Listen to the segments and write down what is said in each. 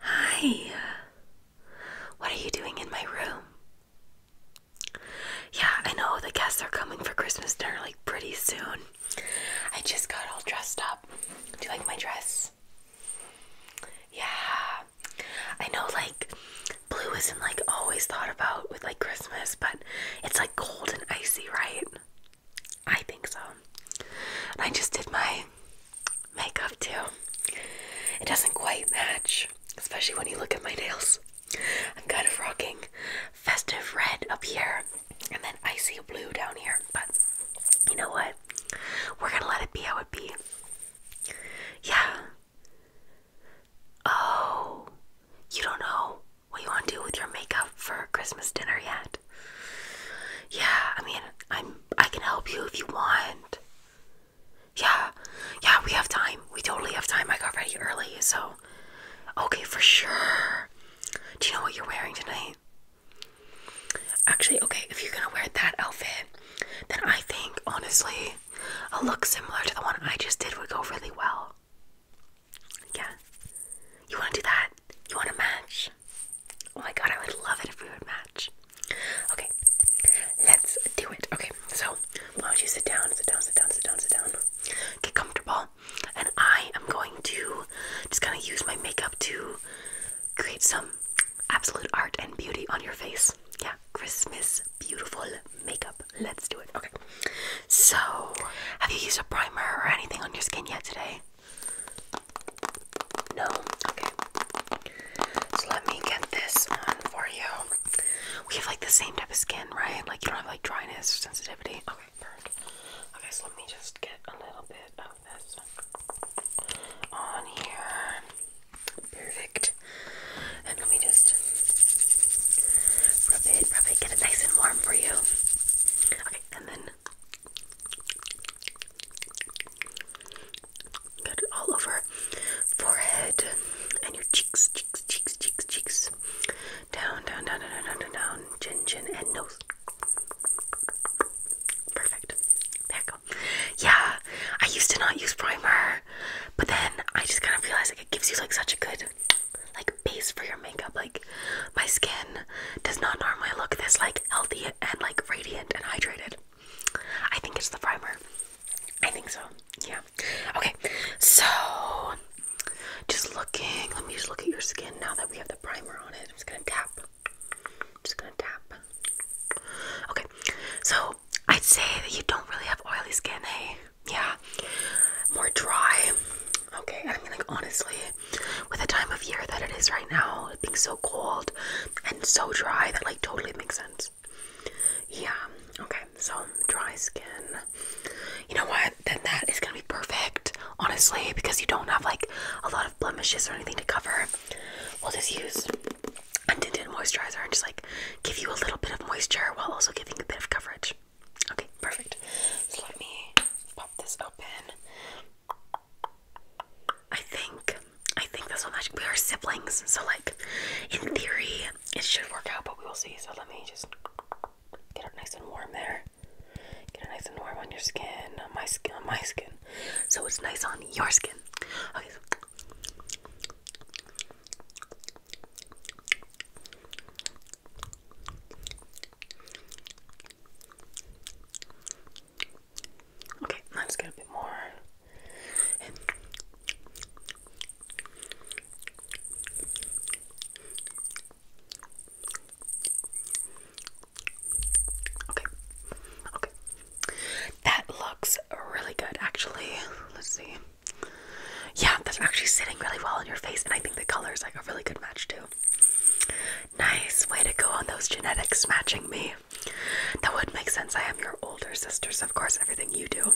Hi. What are you doing in my room? Yeah, I know the guests are coming for Christmas dinner like pretty soon. I just got all dressed up. Do you like my dress? Yeah. I know like blue isn't like always thought about with like Christmas, but it's like cold and icy, right? I think so. And I just did my makeup too. It doesn't quite match, especially when you look at my nails. I'm kind of rocking festive red up here and then icy blue down here, but you know what? We're gonna let it be how it be. Yeah. Oh, you don't know what you want to do with your makeup for Christmas dinner yet? Yeah, I mean, I'm I can help you if you want. Yeah, yeah, we have time. We totally have time. I got ready early, so okay, for sure. Do you know what you're wearing tonight? Actually, okay, if you're gonna wear that outfit, then I think honestly a look similar to the one I just did would go really well. Yeah, you want to do that? You want to match? Oh my god, I would love it if we would match. Okay, let's do it. Okay, so why don't you sit down, sit down, sit down, sit down, sit down. Get comfortable. And I am going to just kind of use my makeup to create some absolute art and beauty on your face. Yeah, Christmas beautiful makeup. Let's do it. Okay. So, have you used a primer or anything on your skin yet today? No? Okay. So let me get this one for you. We have like the same type of skin, right? Like you don't have like dryness or sensitivity. Okay, perfect. Okay, so let me just get a little bit of this on here. Perfect. And let me just rub it, rub it, get it nice and warm for you. Okay, and then Got it all over forehead and your cheeks, cheeks, cheeks, cheeks, cheeks. Down, down, down, down, down, down, down, chin, chin, and nose. Perfect. There you go. Yeah, I used to not use primer, but then I just kind of realized like it gives you like such a good like base for your makeup. Like my skin does not normally look this like healthy and like radiant and hydrated. I think it's the primer. I think so. Yeah. Okay. So just looking. Let me just look at your skin now that we have the primer on it. I'm just gonna tap. I'm just gonna tap. Okay. So I'd say that you don't really have oily skin, hey? Eh? Yeah. More dry. Okay. I mean, like honestly, with the time of year that it is right now, being so cold, and so dry that like totally makes sense. Yeah, okay, so dry skin. You know what? Then that is gonna be perfect, honestly, because you don't have like a lot of blemishes or anything to cover. We'll just use a tinted moisturizer and just like give you a little bit of moisture while also giving a bit of coverage. Okay, perfect. So let me pop this open. I think I think this will We are siblings, so like in theory it should work out, but we will see. So let me just get it nice and warm there. Get it nice and warm on your skin, on my skin, on my skin, so it's nice on your skin. Okay. Okay, now let's get a bit more. Okay. Okay. That looks really good actually. Let's see. Yeah, that's actually sitting really well on your face and I think the color is like a really good match too. Nice way to go on those genetics matching me. That would make sense. I am your older sister, so of course, everything you do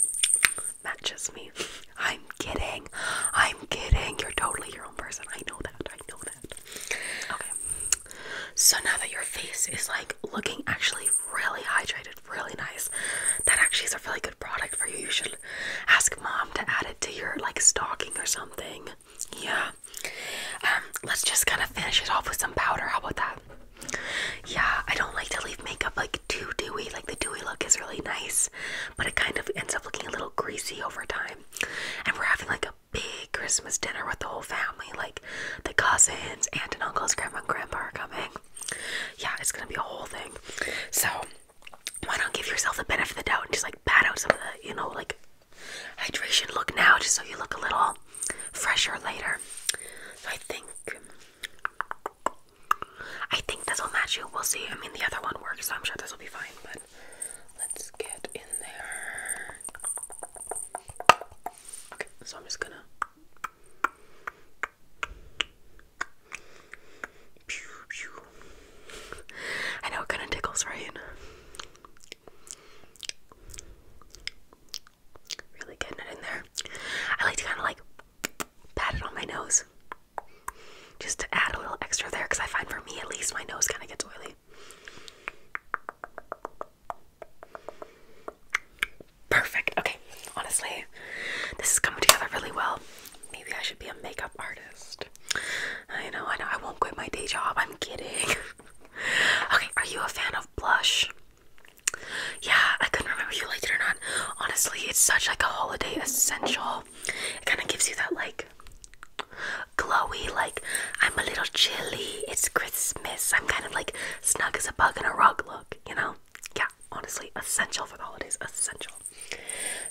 matches me. I'm kidding. I'm kidding. You're totally your own person. I know that. I know that. Okay. So now that your face is like looking actually really hydrated, really nice, that actually is a really good product for you. You should ask mom to add it to your like stocking or something. Yeah. Um, let's just kind of finish it off with some powder. How about that? Yeah, I don't like to leave makeup like too dewy. Like the dewy look is really nice, but it kind of ends up looking a little greasy over time. And we're having like a big Christmas dinner with the whole family. Like the cousins, aunt and uncles, grandma and grandpa are coming. Yeah, it's gonna be a whole thing. So why not give yourself the benefit of the doubt and just like pat out some of the, you know, like hydration look now just so you look a little fresher later. I think I think this will match you. We'll see. I mean the other one works, so I'm sure this will be fine, but let's get in there. Okay, so I'm just gonna I know it kinda tickles, right? Really getting it in there. I like to kind of like pat it on my nose just to add a little extra there because I find for me at least my nose kind of gets oily. Perfect. Okay, honestly, this is coming together really well. Maybe I should be a makeup artist. I know, I know, I won't quit my day job. I'm kidding. okay, are you a fan of blush? Yeah, I couldn't remember if you liked it or not. Honestly, it's such like a holiday essential. It kind of gives you that like glowy, like I'm a little chilly. It's Christmas. I'm kind of like snug as a bug in a rug look, you know? Yeah, honestly, essential for the holidays. Essential.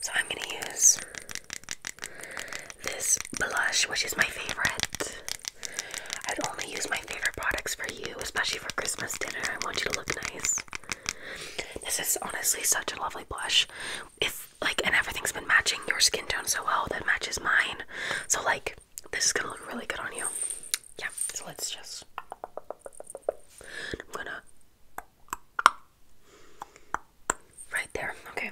So I'm gonna use this blush, which is my favorite. I'd only use my favorite products for you, especially for Christmas dinner. I want you to look nice. This is honestly such a lovely blush. If like and everything's been matching your skin tone so well that matches mine. So like this is gonna look really good on you. Yeah, so let's just I'm gonna right there, okay.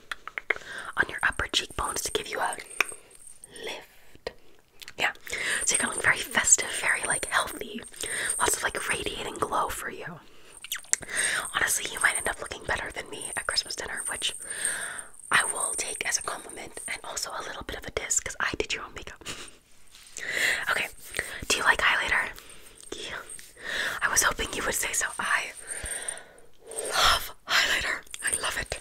on your upper cheekbones to give you a lift. Yeah, so you're gonna look very festive, very like healthy, lots of like radiating glow for you. Honestly, you might end up looking better than me at Christmas dinner, which I will take as a compliment and also a little bit of a diss because I did your own makeup. okay, do you like highlighter? Yeah. I was hoping you would say so. I love highlighter. I love it.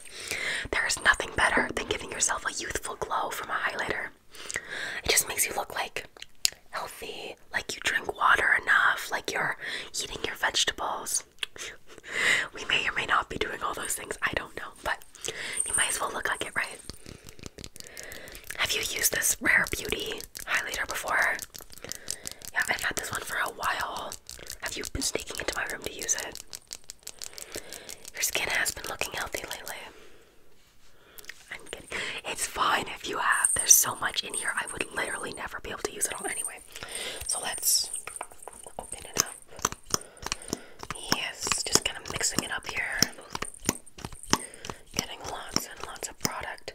There is nothing better than giving yourself a youthful glow from a highlighter. It just makes you look like healthy, like you drink water enough, like you're eating your vegetables. we may or may not be doing all those things, I don't know, but you might as well look like it, right? Have you used this Rare Beauty highlighter before. Yeah, I've had this one for a while. Have you been sneaking into my room to use it? Your skin has been looking healthy lately. I'm kidding. It's fine if you have. There's so much in here, I would literally never be able to use it all anyway. So let's open it up. Yes, just kind of mixing it up here. Getting lots and lots of product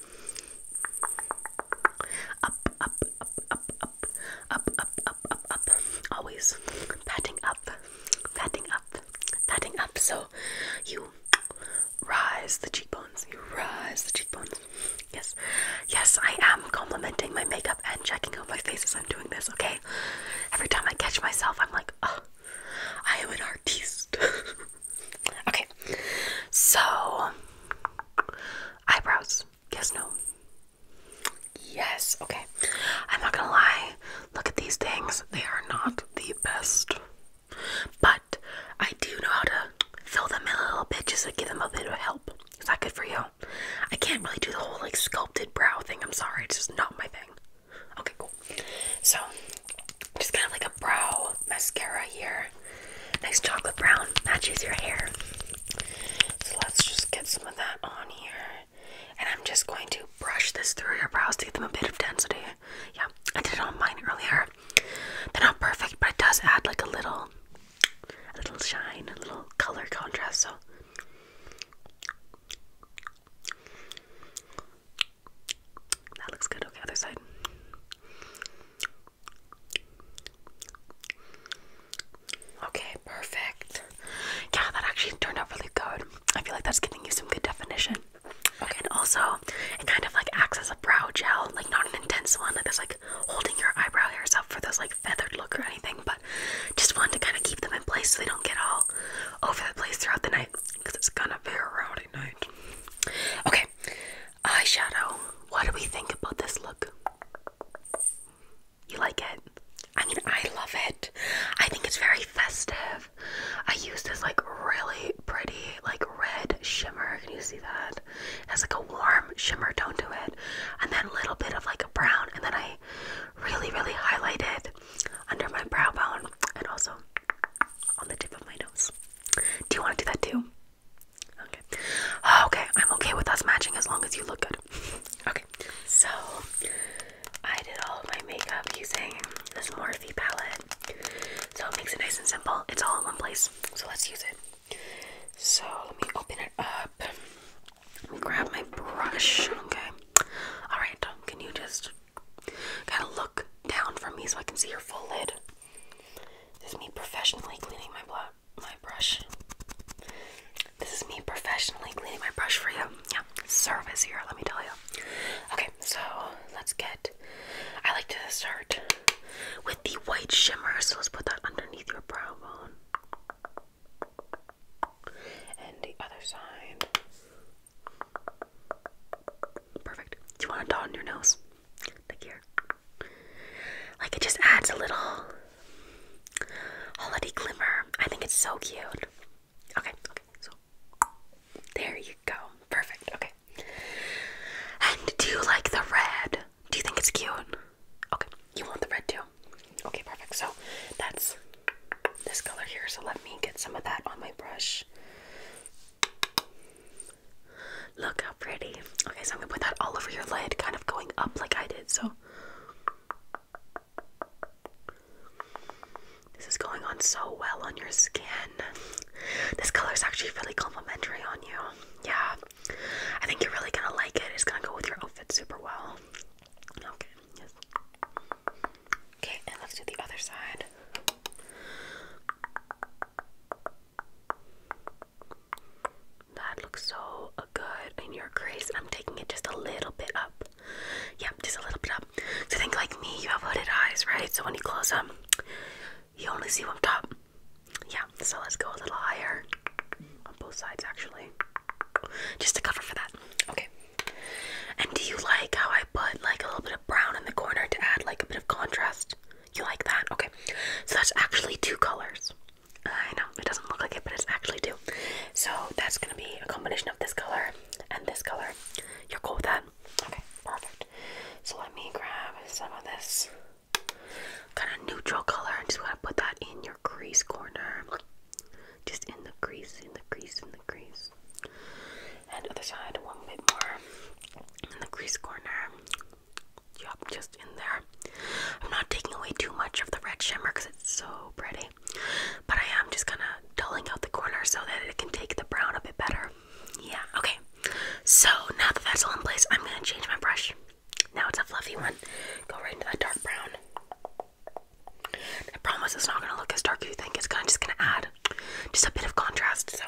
Up, up, up, up, up, up, up, up, up, up. Always patting up, patting up, patting up. So you rise the cheekbones. You rise the cheekbones. Yes, yes, I am complimenting my makeup and checking out my face as I'm doing this. Okay, every time I catch myself, I'm like, oh, I am an artiste. okay, so Eyebrows. Yes, no. Yes, okay. I'm not gonna lie. Look at these things. They are not the best. But I do know how to fill them in a little bit just to give them a bit of help. Is that good for you? I can't really do the whole like sculpted brow thing. I'm sorry. It's just not my thing. Okay, cool. So, just kind of like a brow mascara here. Nice chocolate brown matches your hair. So let's just get some of that on here. And I'm just going to brush this through your brows to give them a bit of density. Yeah, I did it on mine earlier. They're not perfect, but it does add like a little a little shine, a little color contrast, so that looks good. Okay, other side. Okay, perfect. Yeah, that actually turned out really good. I feel like that's giving you some good definition. Okay, and also it kind of like acts as a brow gel, like not an intense one, like that's like holding your eyebrow hairs up for those like feathered look or anything, but just wanted to kind of keep them in place so they don't get all over the place throughout the night because it's gonna be a rowdy night. Okay, Eyeshadow. What do we think about this look? You like it? I mean, I love it. I think it's very festive. I use this like really pretty, like red shimmer. Can you see that? It has like a warm shimmer tone to it, and then a little bit of like a brown, and then I really, really highlight it under my brow bone and also on the tip of my nose. Do you want to do that too? Okay. Okay, I'm okay with us matching as long as you look good. Okay. So I did all of my makeup using this Morphe palette. So it makes it nice and simple. It's all in one place. So let's use it. So let me open it up. Let me grab my brush. Okay. Alright, can you just kinda look down from me so I can see your full lid? This is me professionally cleaning my brush. This is me professionally cleaning my brush for you. Yeah, service here, let me tell you. Okay, so let's get. I like to start with the white shimmer, so let's put that underneath your brow bone. And the other side. Perfect. Do you want to dot on your nose? Like here. Like it just adds a little holiday glimmer. I think it's so cute. Okay, okay, so there you go. Perfect. Okay. And do you like the red? Do you think it's cute? Okay, you want the red too? Okay, perfect. So that's this color here. So let me get some of that on my brush. Look how pretty. Okay, so I'm gonna put that all over your lid, kind of going up like I did. So this is going on so well on your skin. This color is actually really complimentary on you. Yeah, I think you're really gonna like it. It's gonna go with your outfit super well. Okay, Okay, and let's do the other side. That looks so good in your gaze. I'm taking it just a little bit up. Yep, just a little bit up. So think like me, you have hooded eyes, right? So when you close them, you only see one top. Yeah, so let's go a little higher on both sides actually. Just to cover for that. Okay. And do you like how I put like a little bit of brown in the corner to add like a bit of contrast? You like that? Okay. So that's actually two colors. I know it doesn't look like it, but it's actually two. So that's gonna be a combination of this color and this color. You're cool with that? Okay, perfect. So let me grab some of this kind of neutral color I'm just going to put that in your crease corner. Just in the crease, in the crease, in the crease. And other side, one bit more in the crease corner just in there. I'm not taking away too much of the red shimmer because it's so pretty, but I am just kind of dulling out the corner so that it can take the brown a bit better. Yeah, okay. So now that that's all in place, I'm gonna change my brush. Now it's a fluffy one. Go right into that dark brown. I promise it's not gonna look as dark as you think. It's kind of just gonna add just a bit of contrast. So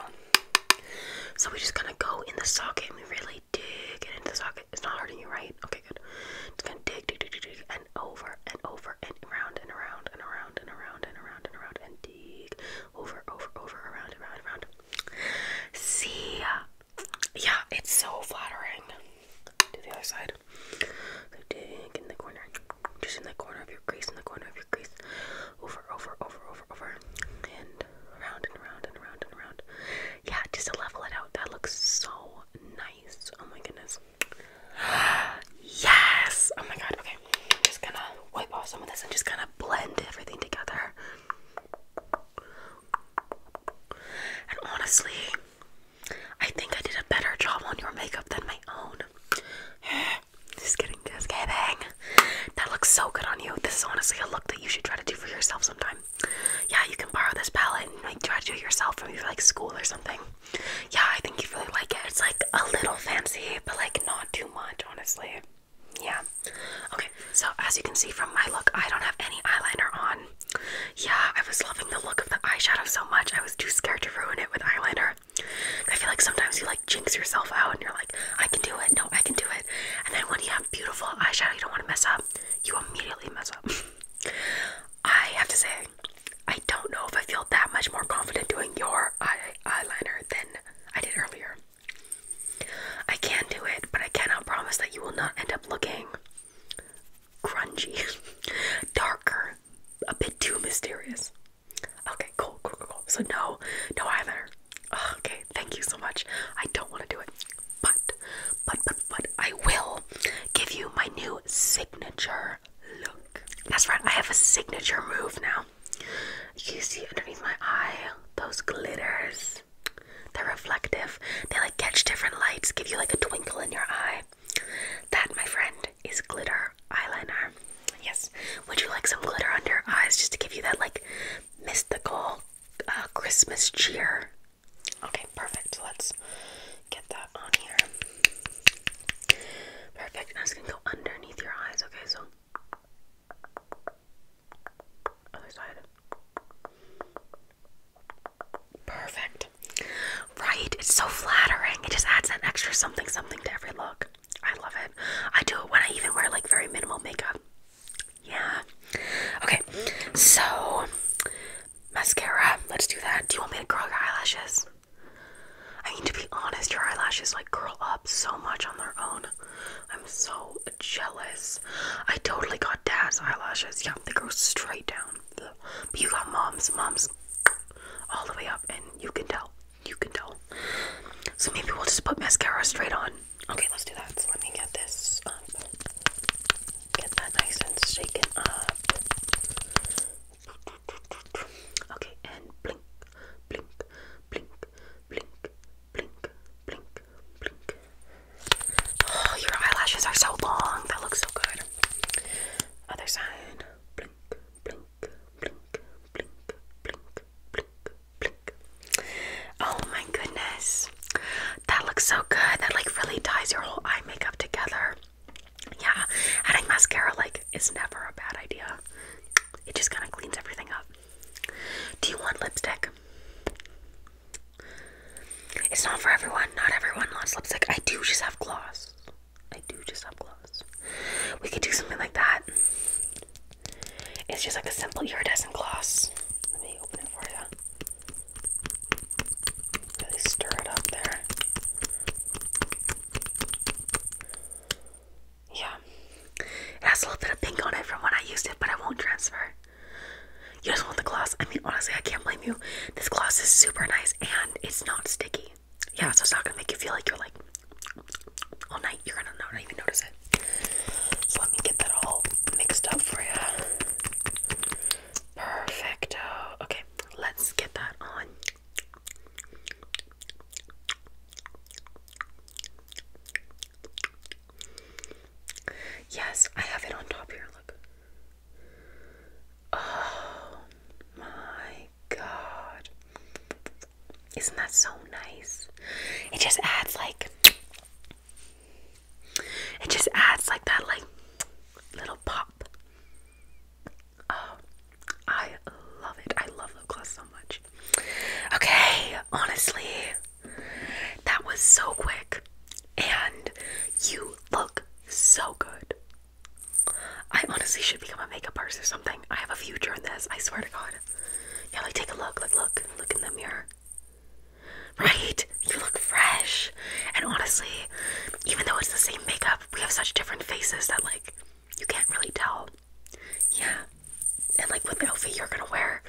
so we're just gonna go in the socket and we really dig it into the socket. It's not hurting you, right? Okay, good. Just gonna dig, dig, dig, dig, dig, and over and over and around and around and around and around and around and around and dig over, over, over, around, around, around. See, yeah, it's so flattering. Do the other side. So dig in the corner, just in the corner of your crease, in the corner of your crease over, over, over, over, over, and around and around and around and around. Yeah, just to level it out. That looks so nice. Oh my goodness. Yes! Oh my god, okay. I'm just gonna wipe off some of this and just kind of blend everything together. And honestly, I think I did a better job on your makeup than my own. just kidding just kidding. That looks so good on you. This is honestly a look that you should try to do for yourself sometime. Yeah, you can borrow this palette and like try to do it yourself from your like school or something. Yeah, I think you really like it. It's like a little fancy, but like not too much, honestly. Yeah. Okay, so as you can see from my look, I don't have any eyeliner on. Yeah, I was loving the look of the eyeshadow so much. I was too scared to ruin it with eyeliner. I feel like sometimes you like jinx yourself out and you're like, I can do it, no, I can do it. And then when you have beautiful eyeshadow you don't want to mess up, you immediately mess up. I have to say, I don't know if I feel that much more confident doing your eye eyeliner than I did earlier. I can do it, but I cannot promise that you will not end up looking grungy, darker, a bit too mysterious. Okay, cool, cool, cool, cool. So no, no eyeliner. Okay, thank you so much. I don't want to do it, but, but, but, but I will give you my new signature look. That's right, I have a signature move now. You see underneath my eye those glitters. They're reflective. They like catch different lights, give you like a twinkle in your eye. That, my friend, is glitter eyeliner. Yes. Would you like some glitter under your eyes just to give you that like mystical uh, Christmas cheer. Okay, perfect. Let's get that on here. Perfect. i gonna go underneath your eyes. Okay, so other side. Perfect. Right? It's so flattering. It just adds that extra something something to every look. I love it. I do it when I even wear like very minimal makeup. Yeah. Okay, so mascara. Let's do that. Do you want me to curl your eyelashes? I mean, to be honest, your eyelashes like curl up so much on their own. I'm so jealous. I totally got dad's eyelashes. Yeah, they grow straight down. But you got mom's, mom's all the way up, and you can tell. You can tell. So maybe we'll just put mascara straight on. Okay, let's do that. So let me get this up. Um, get that nice and shaken up. Okay, and blink, blink, blink, blink, blink, blink, blink. Oh, your eyelashes are so long. That looks so good. Other side. Blink, blink, blink, blink, blink, blink, blink, Oh my goodness. That looks so good. That like really ties your whole eye makeup together. Yeah, adding mascara like is never a bad idea. It just kind of cleans everything up. Do you want lipstick? It's not for everyone. Not everyone loves lipstick. I do just have gloss. I do just have gloss. We could do something like that. It's just like a simple iridescent gloss. Let me open it for you. Really stir it up there. Yeah. It has a little bit of pink on it from when I used it, but I won't transfer. You just want the gloss. I mean, honestly, I can't blame you. This gloss is super nice and it's not sticky. Yeah, so it's not gonna make you feel like you're like all night. You're gonna not even notice it. So let me get that all mixed up for you. Perfecto. Okay, let's get that on. Yes, I have it on top here. Look. Oh my god. Isn't that so nice? It just adds like it just adds like that like little pop. Oh, I love it. I love the gloss so much. Okay, honestly, that was so quick and you look so good. I honestly should become a makeup artist or something. I have a future in this. I swear to God god. Yeah, like take a look. Like look, look in the mirror. Right? You look fresh. And honestly, even though it's the same makeup, we have such different faces that like you can't really tell. Yeah. And like with the outfit you're gonna wear,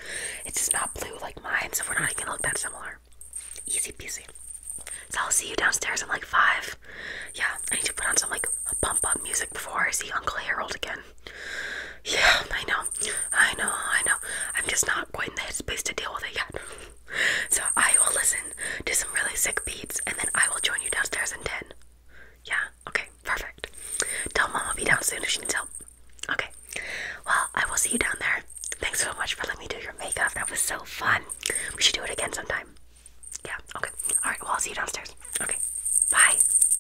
it's just not blue like mine, so we're not gonna look that similar. Easy peasy. So I'll see you downstairs in like five. Yeah, I need to put on some like pump up music before I see Uncle Harold again. Yeah, I know. I know, I know. I'm just not quite in the headspace to deal with it yet. So I will listen to some really sick beats and then I will join you downstairs in 10. Yeah, okay, perfect. Tell mom I'll be down soon if she needs help. Okay, well, I will see you down there. Thanks so much for letting me do your makeup. That was so fun. We should do it again sometime. Yeah, okay. Alright, well, I'll see you downstairs. Okay, bye.